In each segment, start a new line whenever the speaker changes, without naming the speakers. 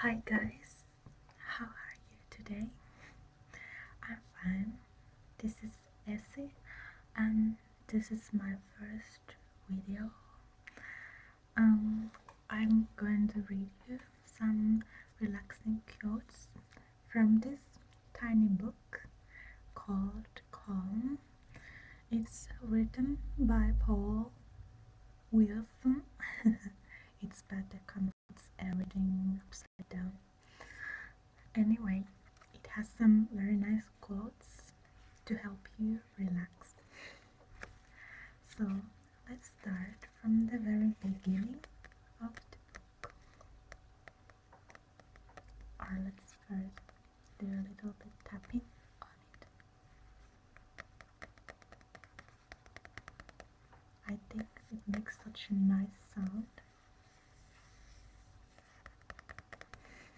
Hi guys, how are you today? I'm fine. This is Essie, and this is my first video. Um, I'm going to read you some relaxing quotes from this tiny book called Calm it's written by Paul Wilson. it's better converts everything upside down. Anyway, it has some very nice quotes to help you relax. So let's start from the very beginning of the book. Or let's first do a little bit tapping on it. I think it makes such a nice sound.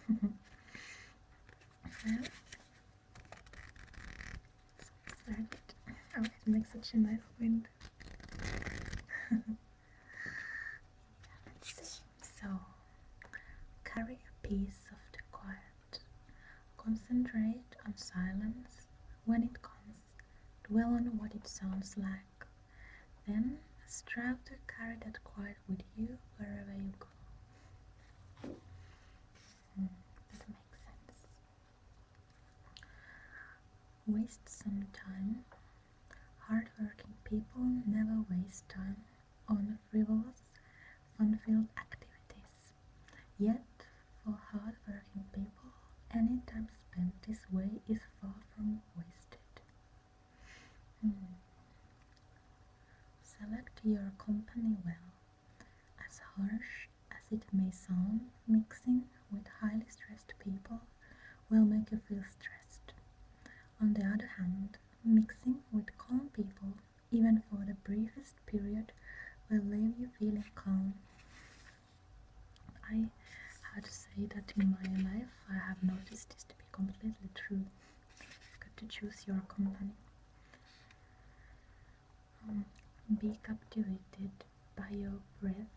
well, oh, it. makes such a nice wind. So, carry a piece of the quiet. Concentrate on silence when it comes, dwell on what it sounds like. Then, strive to carry that quiet with you wherever you go. does hmm, it make sense? Waste some time. Hardworking people never waste time on frivolous, fun-filled activities. Yet, for hard-working people, any time spent this way is far from wasted. Hmm. Select your company well. As harsh as it may sound, mixing with highly stressed people will make you feel stressed. On the other hand, Mixing with calm people, even for the briefest period, will leave you feeling calm. I had to say that in my life I have noticed this to be completely true. you got to choose your company. Um, be captivated by your breath.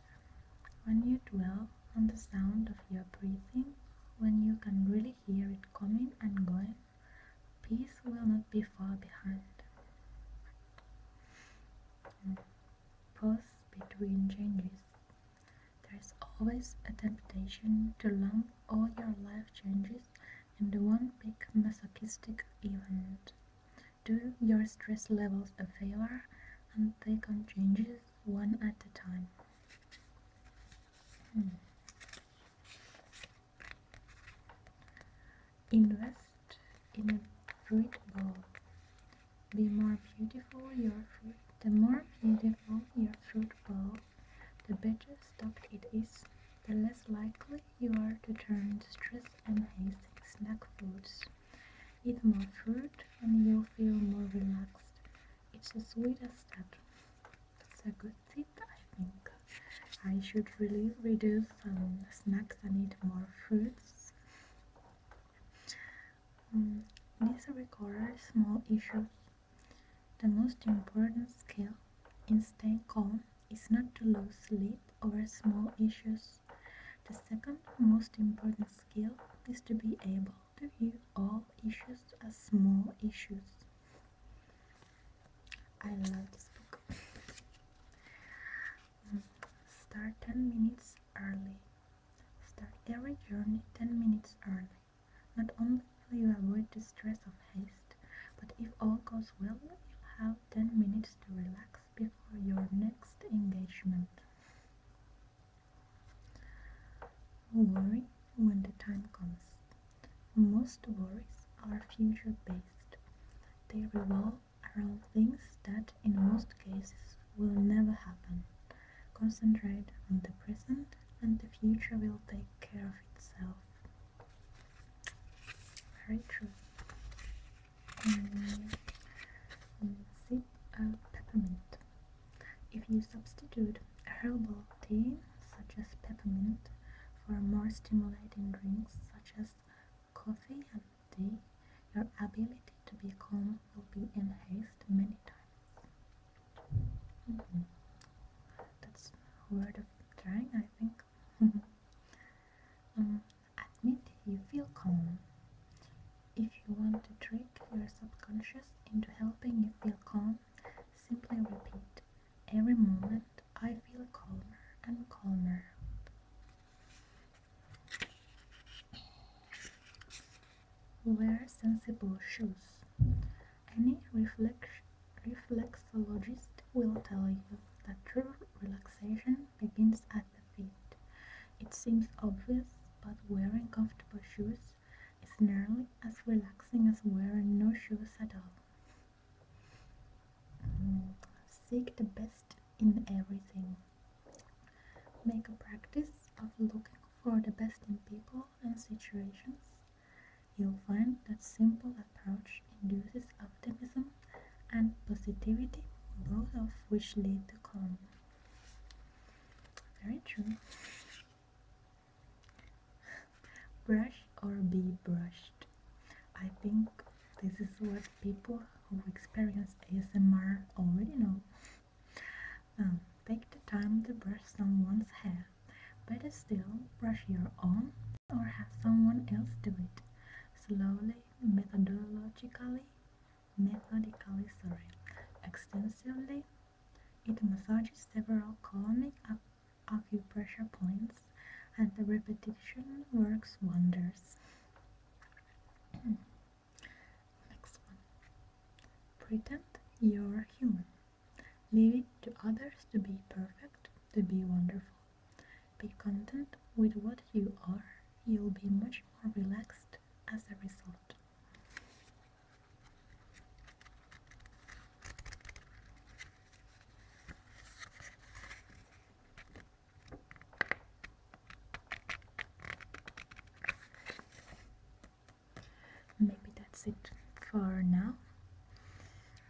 When you dwell on the sound of your breathing, when you can really hear it coming and going. Peace will not be far behind. Pause between changes. There is always a temptation to lump all your life changes into one big masochistic event. Do your stress levels a favor and take on changes one at a time. Hmm. Invest in a fruit bowl. Be more beautiful your fruit, the more beautiful your fruit bowl, the better stocked it is, the less likely you are to turn to stress and hasty snack foods. Eat more fruit and you'll feel more relaxed, it's sweet as that it's a good tip, I think. I should really reduce some snacks and eat more fruits. Um, mm, this requires small issues. The most important skill in staying calm is not to lose sleep over small issues. The second most important skill is to be able view all issues as small issues. I love this book. Mm. Start 10 minutes early. Start every journey 10 minutes early. Not only will you avoid the stress of haste, but if all goes well, you'll have 10 minutes to relax before your next engagement. Worry when the time comes. Most worries are future based. They revolve around things that, in most cases, will never happen. Concentrate on the present, and the future will take care of itself. Very true um, of peppermint. If you substitute herbal tea, such as peppermint, for more stimulating drinks, such as coffee and tea, your ability to be calm will be enhanced many times. Mm-hmm. That's a trying, I think. Um, Admit you feel calm. If you want to trick your subconscious into helping you feel calm, simply repeat every moment I feel calmer and calmer. Wear sensible shoes. Any reflexologist will tell you that true relaxation begins at the it seems obvious, but wearing comfortable shoes is nearly as relaxing as wearing no shoes at all. Seek the best in everything. Make a practice of looking for the best in people and situations. You'll find that simple approach induces optimism and positivity, both of which lead to calm. Very true. Brush or be brushed. I think this is what people who experience ASMR already know. Um, take the time to brush someone's hair. Better still, brush your own or have someone else do it. Slowly methodologically, methodically, sorry, extensively. It massages several colonic acupressure points, and the repetition works wonders. Next one. Pretend you're human. Leave it to others to be perfect, to be wonderful, be content with what you are, you'll be much more relaxed as a result. Maybe that's it for now.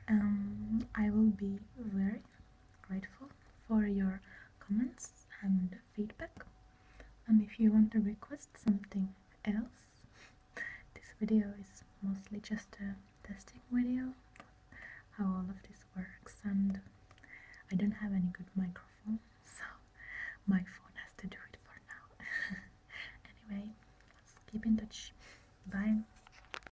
Um, I will be very grateful for your comments and feedback. And if you want to request something else, this video is mostly just a testing video how all of this works and I don't have any good microphone so my phone has to do it for now anyway let's keep in touch bye